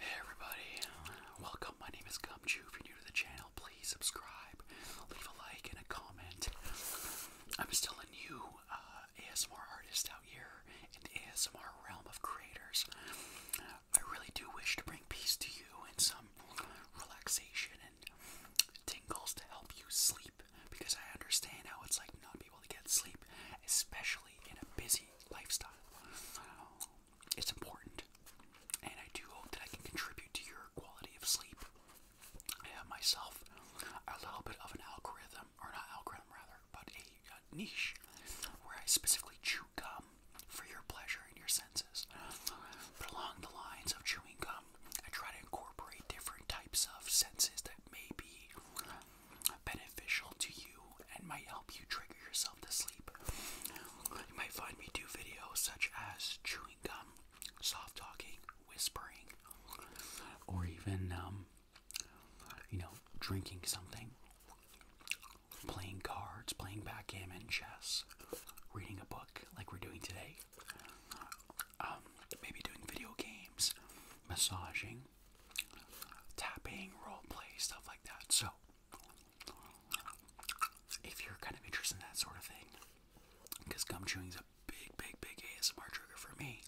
Hey everybody, welcome. My name is Gumchu. If you're new to the channel, please subscribe, leave a like, and a comment. I'm still a new uh, ASMR artist out here in the ASMR realm of creators. I really do wish to bring peace to you and some relaxation and tingles to help you sleep because I understand how it's like not being able to get sleep, especially especially in a busy lifestyle. It's important, and I do hope that I can contribute to your quality of sleep. I have myself a little bit of an algorithm, or not algorithm rather, but a, niche where I specifically chew gum for your pleasure and your senses. But along the lines of chewing gum, I try to incorporate different types of senses that may be beneficial to you and might help you trigger yourself to sleep. You might find me do videos such as chewing gum, soft talking, whispering, or even, um, you know, drinking something, playing cards, playing backgammon, chess, reading a book like we're doing today, um, maybe doing video games, massaging, tapping, role play, stuff like that. So, if you're kind of interested in that sort of thing, because gum chewing is a big, big, big ASMR trigger for me,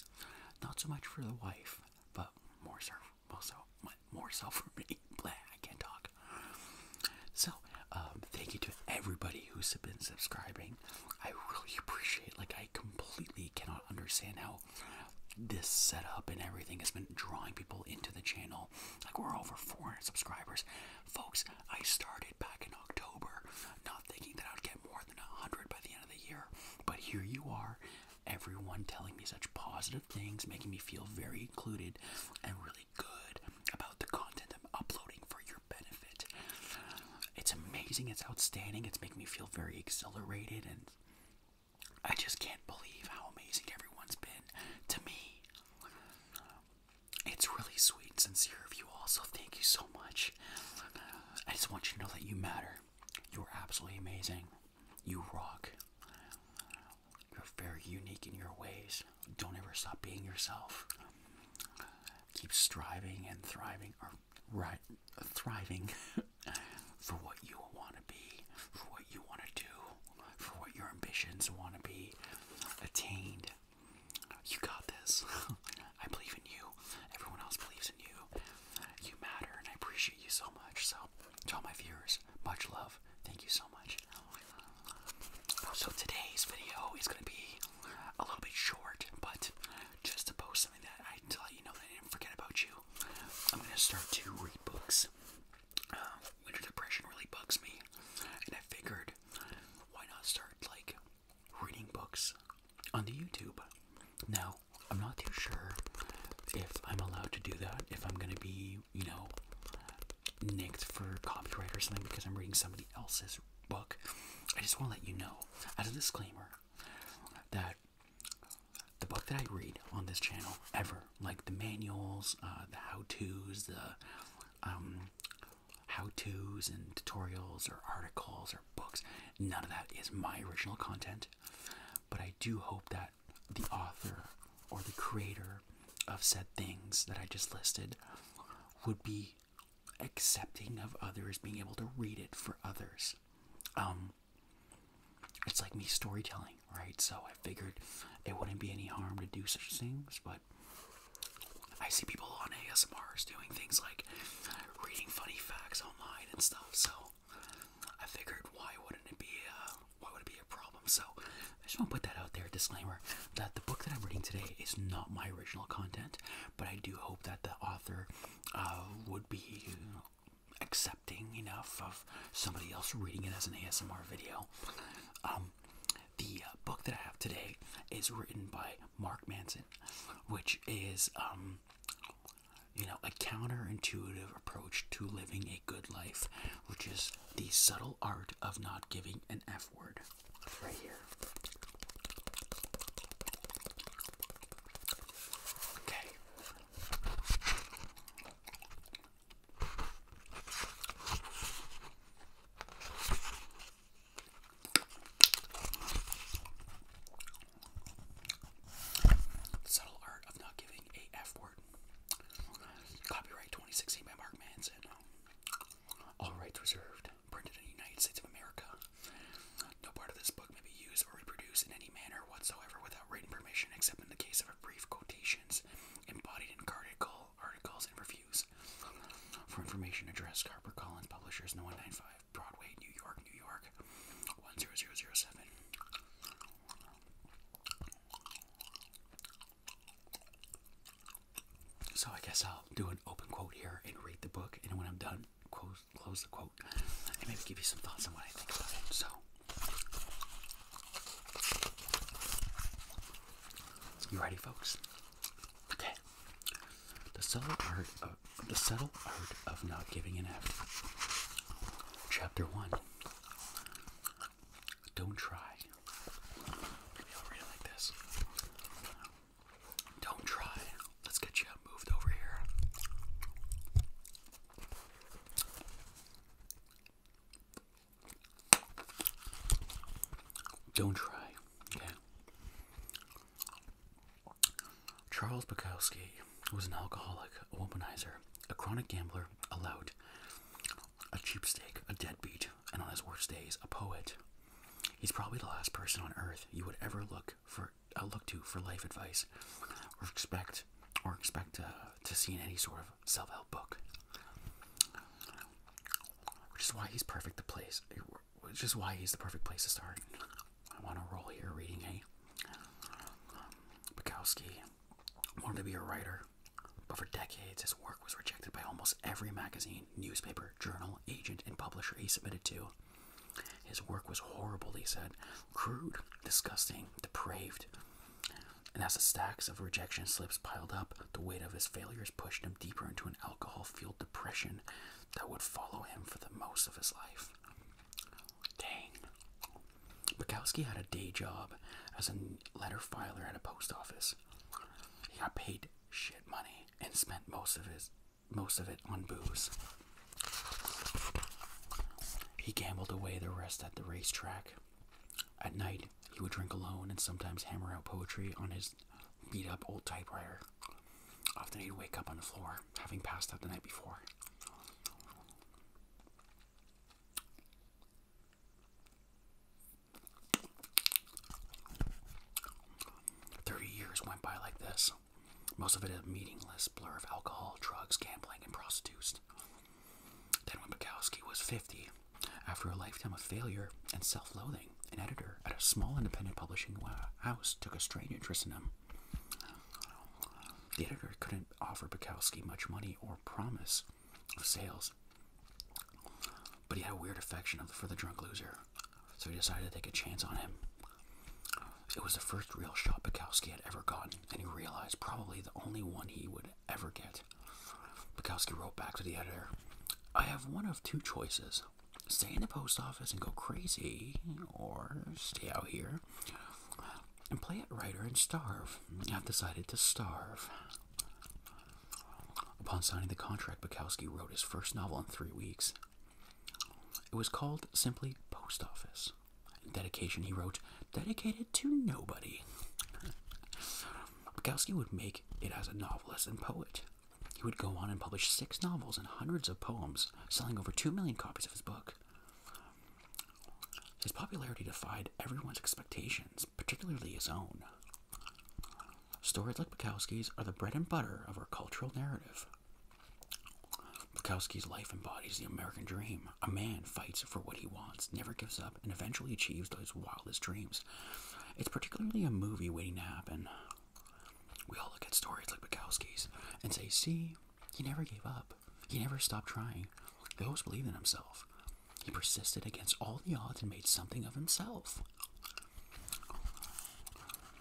not so much for the wife, but more so, more more so for me. Blah, I can't talk. So, um, thank you to everybody who's been subscribing. I really appreciate. Like, I completely cannot understand how this setup and everything has been drawing people into the channel. Like we're over 400 subscribers, folks. I started back in October, not thinking that I'd get more than 100 by the end of the year, but here you are. Everyone telling me such positive things, making me feel very included and really good about the content I'm uploading for your benefit. It's amazing, it's outstanding, it's making me feel very exhilarated and I just can't believe how amazing everyone's been to me. It's really sweet and sincere of you all, so thank you so much. I just want you to know that you matter. You're absolutely amazing. You rock. You're very unique in your ways. Don't ever stop being yourself. Keep striving and thriving, right, thriving for what you want to be, for what you want to do, for what your ambitions want to be attained. You got this. I believe in you. Everyone else believes in you. You matter, and I appreciate you so much. So, to all my viewers, much love. Thank you so much. So, today's video is going to be a little bit short, but just to post that I to let you know I didn't forget about you. I'm gonna start to read books. Uh, winter depression really bugs me, and I figured why not start like reading books on the YouTube. Now I'm not too sure if I'm allowed to do that. If I'm gonna be, you know, nicked for copyright or something because I'm reading somebody else's book. I just want to let you know, as a disclaimer, that the book that I read on this channel ever, like the manuals, uh, the how-tos, the um, how-tos and tutorials or articles or books. None of that is my original content, but I do hope that the author or the creator of said things that I just listed would be accepting of others being able to read it for others. Um, it's like me storytelling, right? So I figured it wouldn't be any harm to do such things, but I see people on ASMRs doing things like reading funny facts online and stuff. So I figured, why wouldn't it be? Uh, why would it be a problem? So I just want to put that out there. Disclaimer: that the book that I'm reading today is not my original content, but I do hope that the author uh, would be accepting enough of somebody else reading it as an ASMR video. Um, the uh, book that I have today is written by Mark Manson, which is, um, you know, a counterintuitive approach to living a good life, which is the subtle art of not giving an F word. Right here. Okay, Subtle art of not giving a F word. Copyright 2016 by Mark Manson. All rights reserved. Printed in the United States of America. No part of this book may be used or reproduced in any manner whatsoever without written permission, except in the case of brief quotations embodied in article, articles and reviews. For information, address Harper Publishers, 195 Broadway, New York, New York, 10007. So I guess I'll do an open quote here and read the book, and when I'm done, close close the quote and maybe give you some thoughts on what I think about it. So you ready folks? Okay. The subtle art of the subtle art of not giving an F. Chapter one. Don't try. Don't try. Let's get you moved over here. Don't try, okay? Charles Bukowski was an alcoholic, a womanizer, a chronic gambler, a lout, a cheap cheapstake, a deadbeat, and on his worst days, a poet. He's probably the last person on earth you would ever look for I look to for life advice or expect or expect to, uh, to see in any sort of self-help book. Which is why he's perfect the place. Which is why he's the perfect place to start. I want to roll here reading a Bukowski wanted to be a writer, but for decades his work was rejected by almost every magazine, newspaper, journal, agent, and publisher he submitted to. His work was horrible, He said. Crude, disgusting, depraved. And as the stacks of rejection slips piled up, the weight of his failures pushed him deeper into an alcohol fueled depression that would follow him for the most of his life. Dang. Bukowski had a day job as a letter filer at a post office. He got paid shit money and spent most of his most of it on booze. He gambled away the rest at the racetrack. At night, he would drink alone and sometimes hammer out poetry on his beat up old typewriter. Often he'd wake up on the floor, having passed out the night before. Thirty years went by like this. Most of it a meaningless blur of alcohol, drugs, gambling, and prostitutes. Then, when Bukowski was 50, after a lifetime of failure and self loathing, an editor at a small independent publishing uh, house took a strange interest in him. The editor couldn't offer Bukowski much money or promise of sales, but he had a weird affection for the drunk loser, so he decided to take a chance on him. It was the first real shot Bukowski had ever gotten, and he realized probably the only one he would ever get. Bukowski wrote back to the editor I have one of two choices stay in the post office and go crazy, or stay out here and play at writer and starve. I've decided to starve. Upon signing the contract, Bukowski wrote his first novel in three weeks. It was called simply Post Office. dedication, he wrote, dedicated to nobody. Bukowski would make it as a novelist and poet. He would go on and publish six novels and hundreds of poems, selling over two million copies of his book. His popularity defied everyone's expectations, particularly his own. Stories like Bukowski's are the bread and butter of our cultural narrative. Bukowski's life embodies the American dream. A man fights for what he wants, never gives up, and eventually achieves his wildest dreams. It's particularly a movie waiting to happen. We all look at stories like Bukowski's and say, see, he never gave up. He never stopped trying. He always believed in himself. He persisted against all the odds and made something of himself.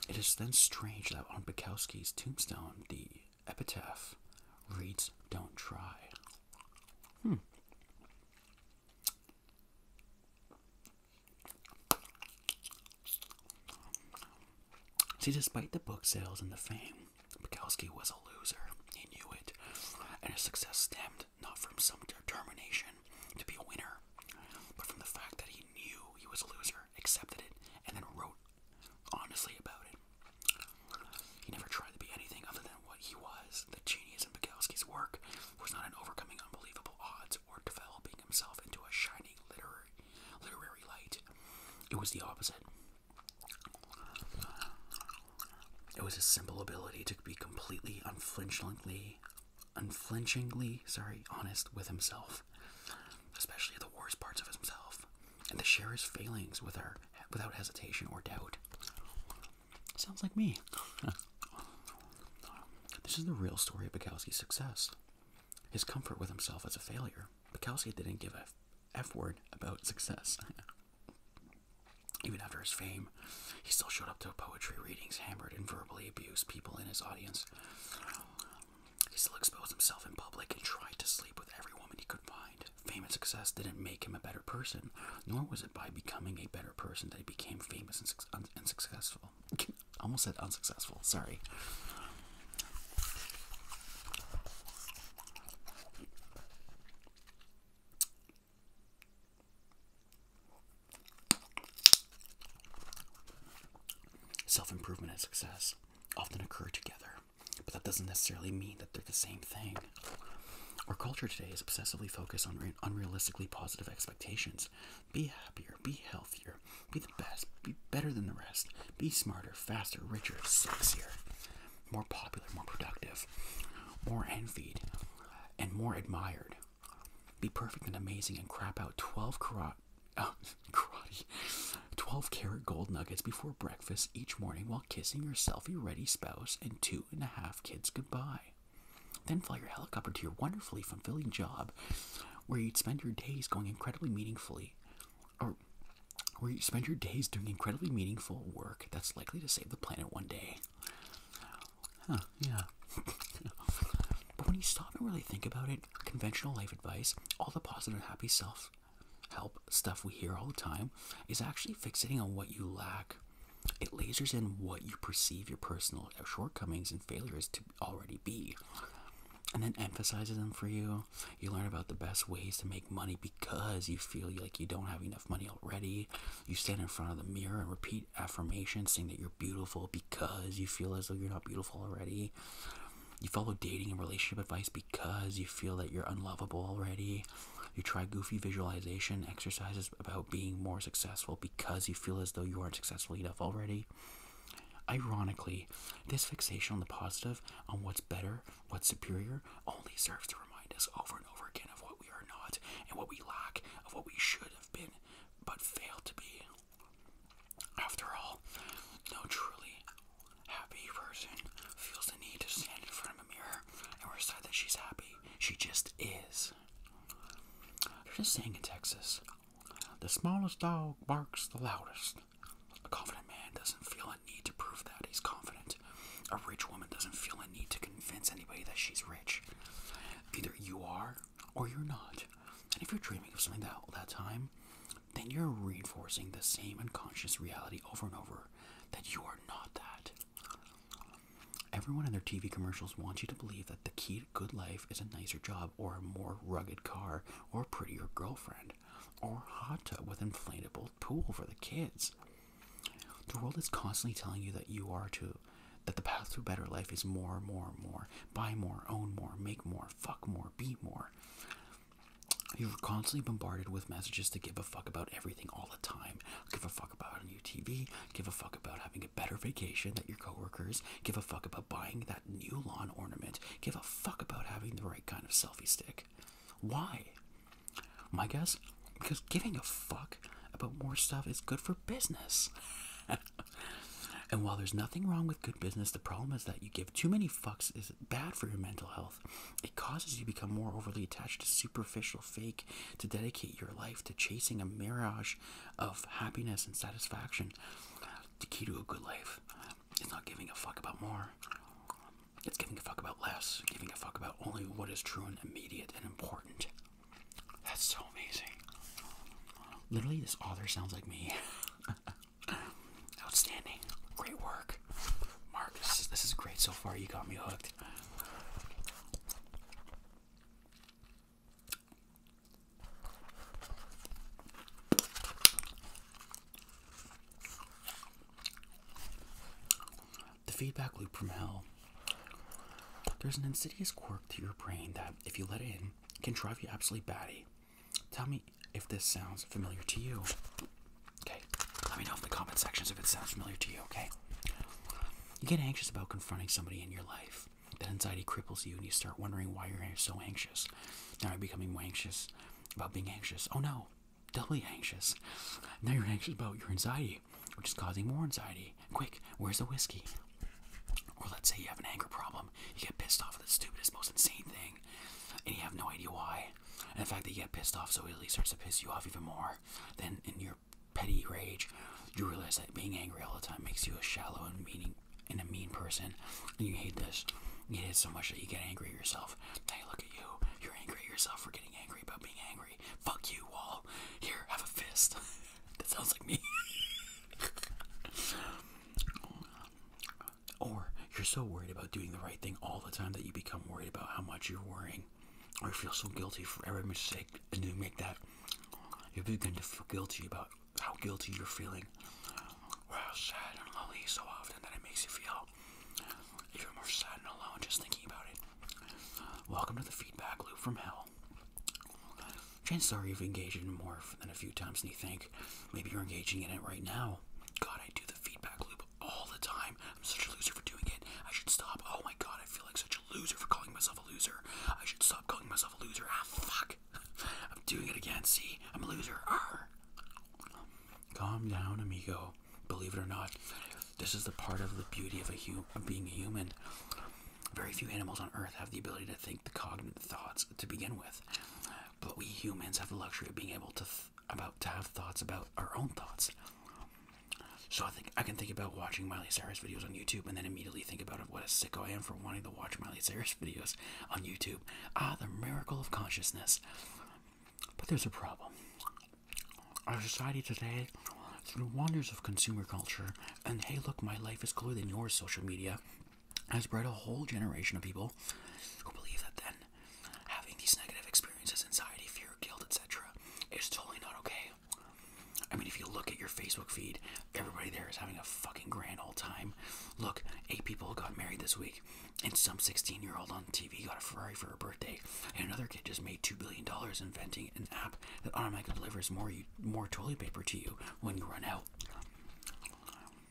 It is then strange that on Bukowski's tombstone, the epitaph reads, Don't try. Hmm. See, despite the book sales and the fame, Bukowski was a loser. He knew it. And his success stemmed not from some determination to be a winner, but from the fact that he knew he was a loser, accepted it, and then wrote honestly about it. He never tried to be anything other than what he was. The genius in Bukowski's work was not in overcoming unbelievable odds or developing himself into a shining literary, literary light. It was the opposite. It was his simple ability to be completely unflinchingly, unflinchingly, sorry, honest with himself himself, especially the worst parts of himself, and to share his failings with her without hesitation or doubt. Sounds like me. this is the real story of Bukowski's success. His comfort with himself as a failure. Bukowski didn't give a F word about success. Even after his fame, he still showed up to poetry readings, hammered and verbally abused people in his audience. He still exposed himself in public and tried to sleep with every woman he could find. Fame and success didn't make him a better person, nor was it by becoming a better person that he became famous and, su successful. Almost said unsuccessful, sorry. Self improvement and success often occur together, but that doesn't necessarily mean that they're the same thing. Our culture today is obsessively focused on unrealistically positive expectations. Be happier, be healthier, be the best, be better than the rest, be smarter, faster, richer, sexier, more popular, more productive, more envied, and more admired. Be perfect and amazing and crap out 12 12 karat gold nuggets before breakfast each morning while kissing your selfie ready spouse and two and a half kids goodbye. Then fly your helicopter to your wonderfully fulfilling job where you'd spend your days going incredibly meaningfully, or where you spend your days doing incredibly meaningful work that's likely to save the planet one day. yeah. but when you stop and really think about it, Conventional life advice, all the positive and happy self help stuff we hear all the time, is actually fixating on what you lack. It lasers in what you perceive your personal shortcomings and failures to already be. And then emphasizes them for you. You learn about the best ways to make money because you feel like you don't have enough money already. You stand in front of the mirror and repeat affirmations saying that you're beautiful because you feel as though you're not beautiful already. You follow dating and relationship advice because you feel that you're unlovable already. You try goofy visualization exercises about being more successful because you feel as though you aren't successful enough already. Ironically, this fixation on the positive, on what's better, what's superior, only serves to remind us over and over again of what we are not and what we lack, of what we should have been but failed to be. After all, no truly happy person feels the need to stand in front of a mirror and recite that she's happy. She just is. They're just saying in Texas, the smallest dog barks the loudest. A confident man doesn't feel a need to prove that he's confident. A rich woman doesn't feel a need to convince anybody that she's rich. Either you are or you're not. And if you're dreaming of something that all that time, then you're reinforcing the same unconscious reality over and over that you are not that. Everyone in their TV commercials wants you to believe that the key to good life is a nicer job, or a more rugged car, or prettier girlfriend, or hot tub with inflatable pool for the kids. The world is constantly telling you that you are to, that the path to better life is more, more, more, buy more, own more, make more, fuck more, be more. You're constantly bombarded with messages to give a fuck about everything all the time. Give a fuck about a new TV. Give a fuck about having a better vacation than your coworkers. Give a fuck about buying that new lawn ornament. Give a fuck about having the right kind of selfie stick. Why? My guess? Because giving a fuck about more stuff is good for business. and while there's nothing wrong with good business, the problem is that you give give too many fucks is bad for your mental health. It causes you to become more overly attached to superficial fake, to dedicate your life to chasing a mirage of happiness and satisfaction. The key to a good life is not giving a fuck about more. It's giving a fuck about less, giving a fuck about only what is true and immediate and important. That's so amazing. Literally, this author sounds like me. Outstanding. Great work. Mark, this is, this is great so far. You got me hooked. The feedback loop from hell. There's an insidious quirk to your brain that, if you let it in, can drive you absolutely batty. Tell me if this sounds familiar to you. Okay, let me know in the comment sections if it sounds familiar to you, okay? You get anxious about confronting somebody in your life. That anxiety cripples you and you start wondering why you're so anxious. Now you're becoming more anxious about being anxious. Oh no, doubly anxious. Now you're anxious about your anxiety, which is causing more anxiety. Quick, where's the whiskey? Or let's say you have an anger problem. You get pissed off at the stupidest, most insane thing and you have no idea why. And the fact that you get pissed off so it easily starts to piss you off even more. Then, in your petty rage, you realize that being angry all the time makes you a shallow and mean and a mean person. And you hate this. You hate it so much that you get angry at yourself. Hey, look at you. You're angry at yourself for getting angry about being angry. Fuck you, Wall. Here, have a fist. that sounds like me. Or you're so worried about doing the right thing all the time that you become worried about how much you're worrying, or you feel so guilty for every mistake and you make that. You begin to feel guilty about how guilty you're feeling, or how sad and lonely so often that it makes you feel even more sad and alone just thinking about it. Welcome to the feedback loop from hell. Chances are you've engaged in more than a few times Do you think, Maybe you're engaging in it right now. God, I do the feedback loop all the time. I'm such a loser for doing it. I should stop. Oh my god, I feel like such a loser for calling myself a loser. I should stop calling myself a loser. Ah, fuck. I'm doing it again. See, I'm a loser. Arr. Calm down, amigo. Believe it or not, this is the part of the beauty of a hum of being a human. Very few animals on Earth have the ability to think the cognitive thoughts to begin with. But we humans have the luxury of being able to about to have thoughts about our own thoughts. So I think I can think about watching Miley Cyrus videos on YouTube, and then immediately think about what a sicko I am for wanting to watch Miley Cyrus videos on YouTube. Ah, the miracle of consciousness. But there's a problem. Our society today, through the wonders of consumer culture, and hey, look, my life is cooler than yours, social media, has bred a whole generation of people who believe that then having these negative experiences, anxiety, fear, guilt, etc., is totally not okay. I mean, if you look at your Facebook feed, everybody there is having a fucking grand old time. Look, eight people got married this week, and some 16 year old on TV got a Ferrari for her birthday, and another kid just made $2 billion inventing an app that automatically delivers more, more toilet paper to you when you run out.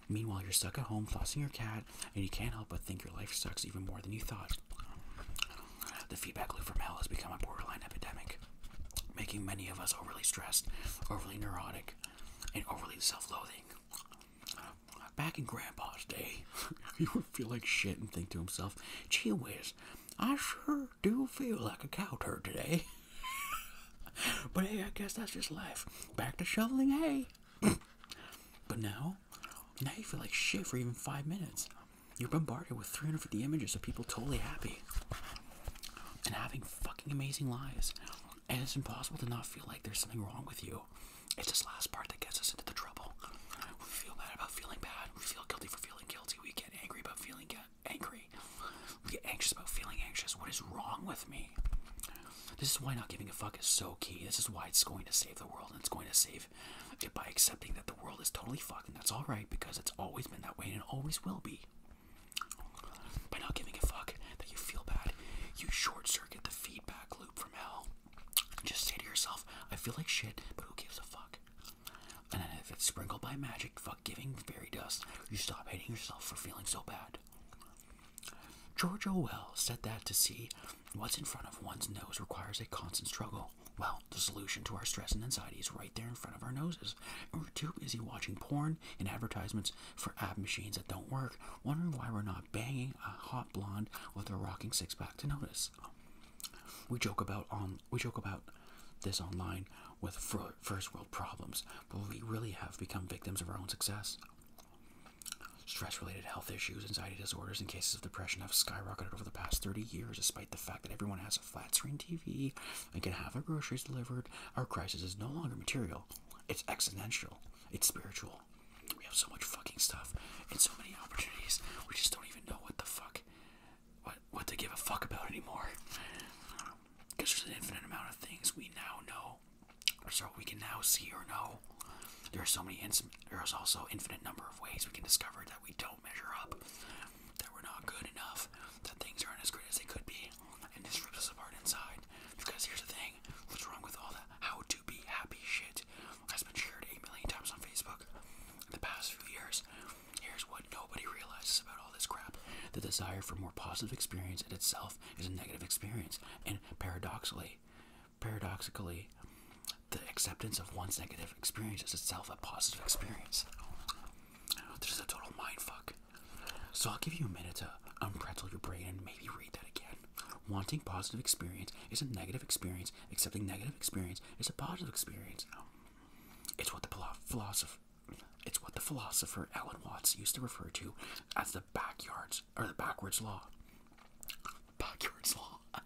Meanwhile, you're stuck at home flossing your cat, and you can't help but think your life sucks even more than you thought. The feedback loop from hell has become a borderline epidemic, making many of us overly stressed, overly neurotic, and overly self loathing. Back in Grandpa's day, he would feel like shit and think to himself, gee whiz, I sure do feel like a cow turd today. but hey, I guess that's just life. Back to shoveling hay. but now, now you feel like shit for even five minutes. You're bombarded with 350 images of people totally happy and having fucking amazing lives. And it's impossible to not feel like there's something wrong with you. It's this last part that gets us into the trouble. We feel bad about feeling bad. We feel guilty for feeling guilty. We get angry about feeling angry. We get anxious about feeling anxious. What is wrong with me? This is why not giving a fuck is so key. This is why it's going to save the world, and it's going to save it by accepting that the world is totally fucked, and that's alright because it's always been that way and it always will be. By not giving a fuck that you feel bad, you short circuit the feedback loop from hell. Just say to yourself, I feel like shit, but who gives a fuck? And then if it's sprinkled by magic, fuck giving fairy dust, you stop hating yourself for feeling so bad. George Orwell said that to see what's in front of one's nose requires a constant struggle. Well, the solution to our stress and anxiety is right there in front of our noses. we're too busy watching porn and advertisements for ab machines that don't work, wondering why we're not banging a hot blonde with a rocking six pack to notice. We joke about on we joke about this online with first world problems, but we really have become victims of our own success. Stress related health issues, anxiety disorders, and cases of depression have skyrocketed over the past 30 years, despite the fact that everyone has a flat screen TV and can have their groceries delivered. Our crisis is no longer material, it's exponential. it's spiritual. We have so much fucking stuff and so many opportunities, we just don't even know what the fuck, what, what to give a fuck about anymore. Because there's an infinite amount of things we now know so we can now see or know. There are so many. There's also infinite number of ways we can discover that we don't measure up, that we're not good enough, that things aren't as great as they could be, and this rips us apart inside. Because here's the thing: what's wrong with all the how to be happy shit that's been shared a million times on Facebook in the past few years? Here's what nobody realizes about all this crap: the desire for more positive experience in itself is a negative experience, and paradoxically, paradoxically, the acceptance of one's negative experience is itself a positive experience. This is a total mindfuck. So I'll give you a minute to unpretzel your brain and maybe read that again. Wanting positive experience is a negative experience. Accepting negative experience is a positive experience. It's what the philosopher, it's what the philosopher Alan Watts used to refer to as the backyards or the backwards law. Backwards law.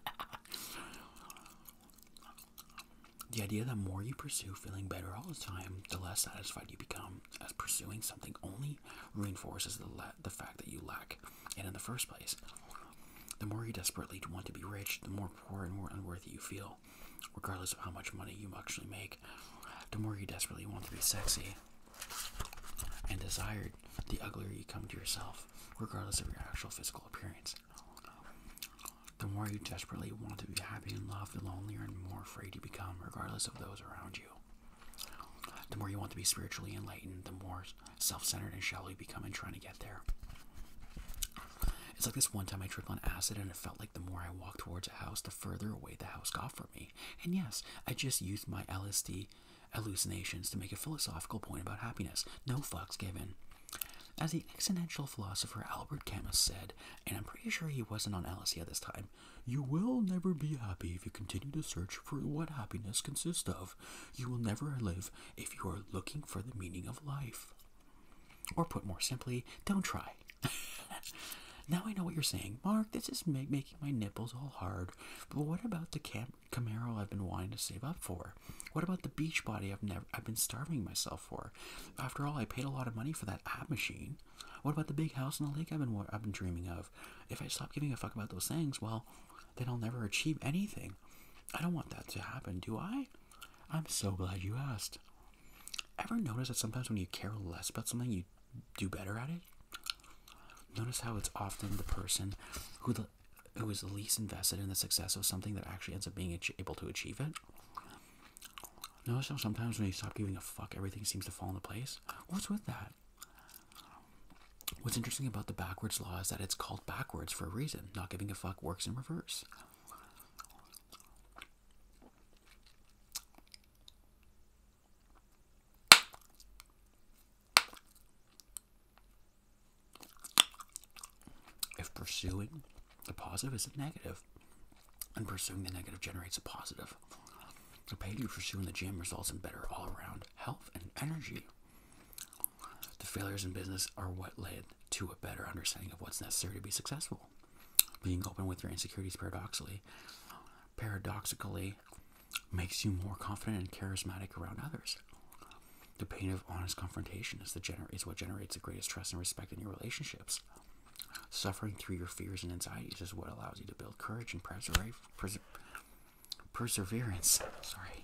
the idea that more you pursue feeling better all the time, the less satisfied you become, as pursuing something only reinforces the, the fact that you lack And in the first place. The more you desperately want to be rich, the more poor and more unworthy you feel, regardless of how much money you actually make. The more you desperately want to be sexy, and desired, the uglier you come to yourself, regardless of your actual physical appearance. The more you desperately want to be happy and loved, the lonelier and more afraid you become, regardless of those around you. The more you want to be spiritually enlightened, the more self centered and shallow you become in trying to get there. It's like this one time I tripped on acid and it felt like the more I walked towards a house, the further away the house got from and yes, I just used my LSD hallucinations to make a philosophical point about happiness. No fucks given. As the existential philosopher Albert Camus said, and I'm pretty sure he wasn't on LSD at this time, you will never be happy if you continue to search for what happiness consists of. You will never live if you are looking for the meaning of life. Or put more simply, don't try. now I know what you're saying, Mark. This is making my nipples all hard. But what about the Camaro I've been wanting to save up for? What about the beach body I've never I've been starving myself for? After all, I paid a lot of money for that app machine. What about the big house in the lake I've been I've been dreaming of? If I stop giving a fuck about those things, well, then I'll never achieve anything. I don't want that to happen, do I? I'm so glad you asked. Ever notice that sometimes when you care less about something, you do better at it. Notice how it's often the person who the who is least invested in the success of something that actually ends up being able to achieve it. Notice how sometimes when you stop giving a fuck, everything seems to fall into place. What's with that? What's interesting about the backwards law is that it's called backwards for a reason. Not giving a fuck works in reverse. If pursuing the positive is a negative, and pursuing the negative generates a positive, the pain you pursue in the gym results in better all around health and energy. The failures in business are what led to a better understanding of what's necessary to be successful. Being open with your insecurities paradoxically paradoxically makes you more confident and charismatic around others. The pain of honest confrontation is, the gener- is what generates the greatest trust and respect in your relationships. Suffering through your fears and anxieties is what allows you to build courage and perseverance. Sorry.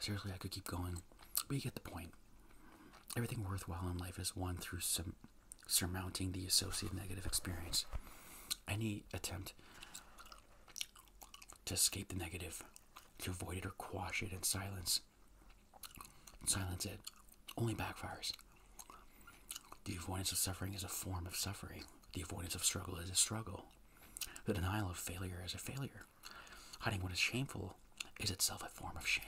Seriously, I could keep going, but you get the point. Everything worthwhile in life is won through some surmounting the associated negative experience. Any attempt to escape the negative, to avoid it or quash it in silence, silence it, only backfires. The avoidance of suffering is a form of suffering. The avoidance of struggle is a struggle. The denial of failure is a failure. Hiding what is shameful is itself a form of shame.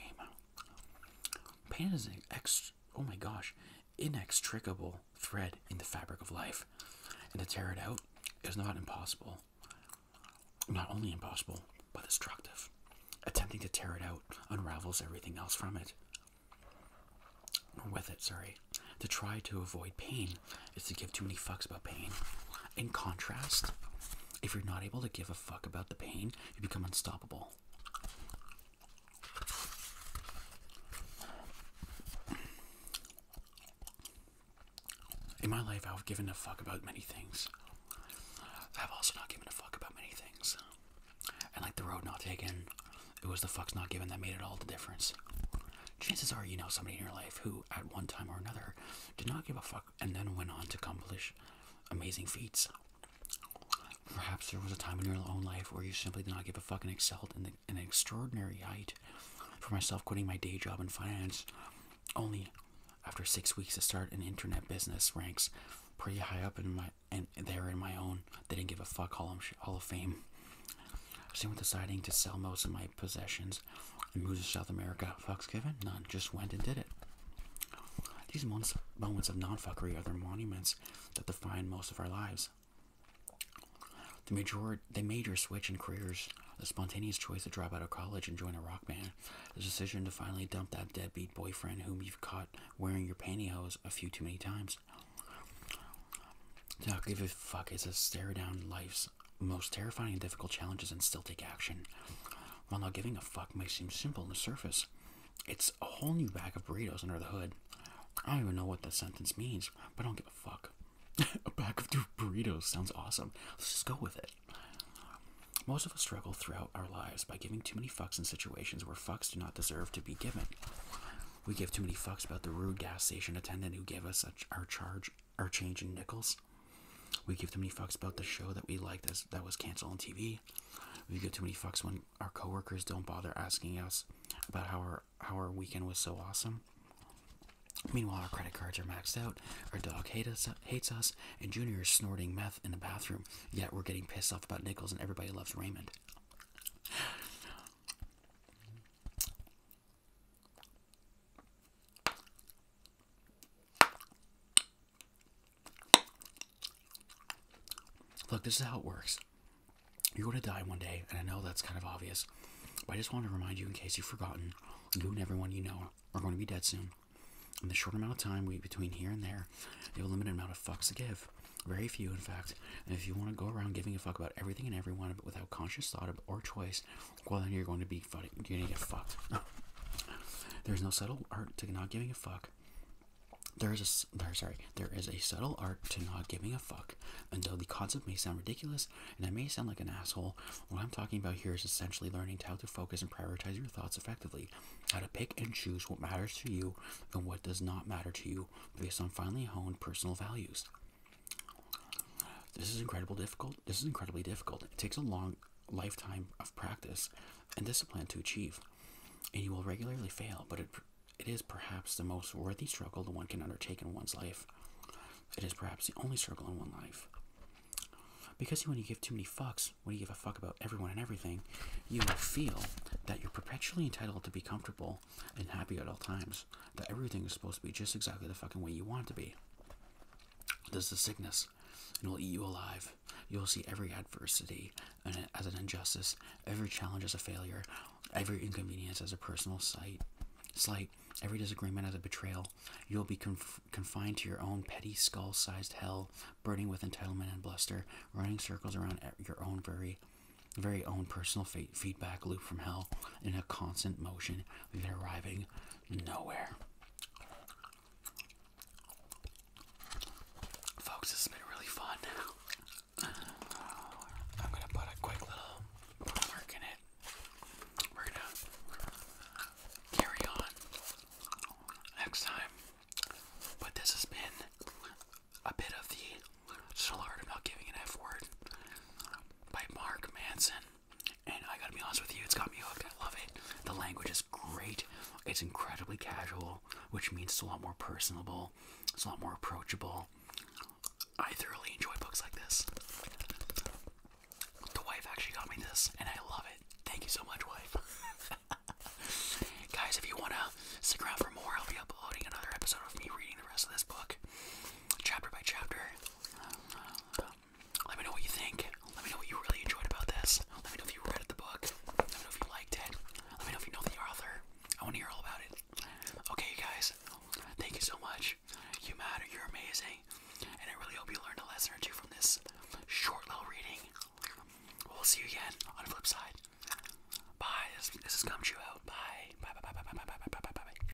Pain is an ex oh my gosh, inextricable thread in the fabric of life, and to tear it out is not impossible. Not only impossible, but destructive. Attempting to tear it out unravels everything else from it. Or with it, sorry. To try to avoid pain is to give too many fucks about pain. In contrast, if you're not able to give a fuck about the pain, you become unstoppable. In my life, I've given a fuck about many things. I've also not given a fuck about many things. And like the road not taken, it was the fucks not given that made it all the difference chances are you know somebody in your life who, at one time or another, did not give a fuck and then went on to accomplish amazing feats. Perhaps there was a time in your own life where you simply did not give a fuck and excelled in, an extraordinary height. For myself, quitting my day job in finance only after six weeks to start an internet business ranks pretty high up in my and there in my own they didn't give a fuck all of, hall of fame with deciding to sell most of my possessions and move to South America. Fucks given? None. Just went and did it. These months, moments of non-fuckery are the monuments that define most of our lives. The major, the major switch in careers, the spontaneous choice to drop out of college and join a rock band, the decision to finally dump that deadbeat boyfriend whom you've caught wearing your pantyhose a few too many times. To not give a fuck is a stare down life's most terrifying and difficult challenges and still take action. While not giving a fuck may seem simple on the surface, it's a whole new bag of burritos under the hood. I don't even know what that sentence means, but I don't give a fuck. a bag of two burritos sounds awesome. Let's just go with it. Most of us struggle throughout our lives by giving too many fucks in situations where fucks do not deserve to be given. We give too many fucks about the rude gas station attendant who gave us our charge are changing nickels. We give too many fucks about the show that we liked that's, that was canceled on TV. We give too many fucks when our coworkers don't bother asking us about how our how our weekend was so awesome. Meanwhile, our credit cards are maxed out. Our dog hate us, hates us, and Junior is snorting meth in the bathroom. Yet we're getting pissed off about nickels, and everybody loves Raymond. Look, this is how it works. You're going to die one day, and I know that's kind of obvious, but I just want to remind you in case you've forgotten, you and everyone you know are going to be dead soon. In the short amount of time we between here and there, you have a limited amount of fucks to give. Very few, in fact. And if you want to go around giving a fuck about everything and everyone but without conscious thought or choice, well then you're going to be fucking. You're going to get fucked. There's no subtle art to not giving a fuck. There is a there, sorry. There is a subtle art to not giving a fuck. And though the concept may sound ridiculous and I may sound like an asshole, what I'm talking about here is essentially learning how to focus and prioritize your thoughts effectively, how to pick and choose what matters to you and what does not matter to you based on finely honed personal values. This is incredibly difficult. This is incredibly difficult. It takes a long lifetime of practice and discipline to achieve, and you will regularly fail, but it, it is perhaps the most worthy struggle the one can undertake in one's life. It is perhaps the only struggle in one's life. Because when you give too many fucks, when you give a fuck about everyone and everything, you will feel that you're perpetually entitled to be comfortable and happy at all times that everything is supposed to be just exactly the fucking way you want to be. This is sickness, and it'll eat you alive. You'll see every adversity as an injustice, every challenge as a failure, every inconvenience as a personal slight, slight, every disagreement as a betrayal. You'll be confined to your own petty, skull-sized hell, burning with entitlement and bluster, running circles around your own very very own personal feedback loop from hell in a constant motion they're arriving nowhere. Folks, this has been really fun. I'm gonna put a quick little mark in it. We're gonna carry on next time. But this has been a bit of the Salard about giving an F word by Mark Manson. And I gotta be honest with you, it's got me hooked. I love it. The language is great. It's incredibly casual, which means it's a lot more personable. It's a lot more approachable. I thoroughly enjoy books like this. The wife actually got me this, and I love it. Thank you so much, wife. Guys, if you want to stick around for more, I'll be uploading another episode of me reading the rest of this book, chapter by chapter. Let me know what you think. Let me know what you really enjoyed about this. Let me know if you read the book. Let me know if you liked it. Let me know if you know the author. I want to hear all about it. Okay, guys. Thank you so much. You matter. You're amazing. And I really hope you learned a lesson or two from this short little reading. We'll see you again on the flip side. Bye. This, this is Gumshoe out. Bye. Bye. Bye. Bye. Bye. Bye. Bye. Bye. Bye. Bye. Bye.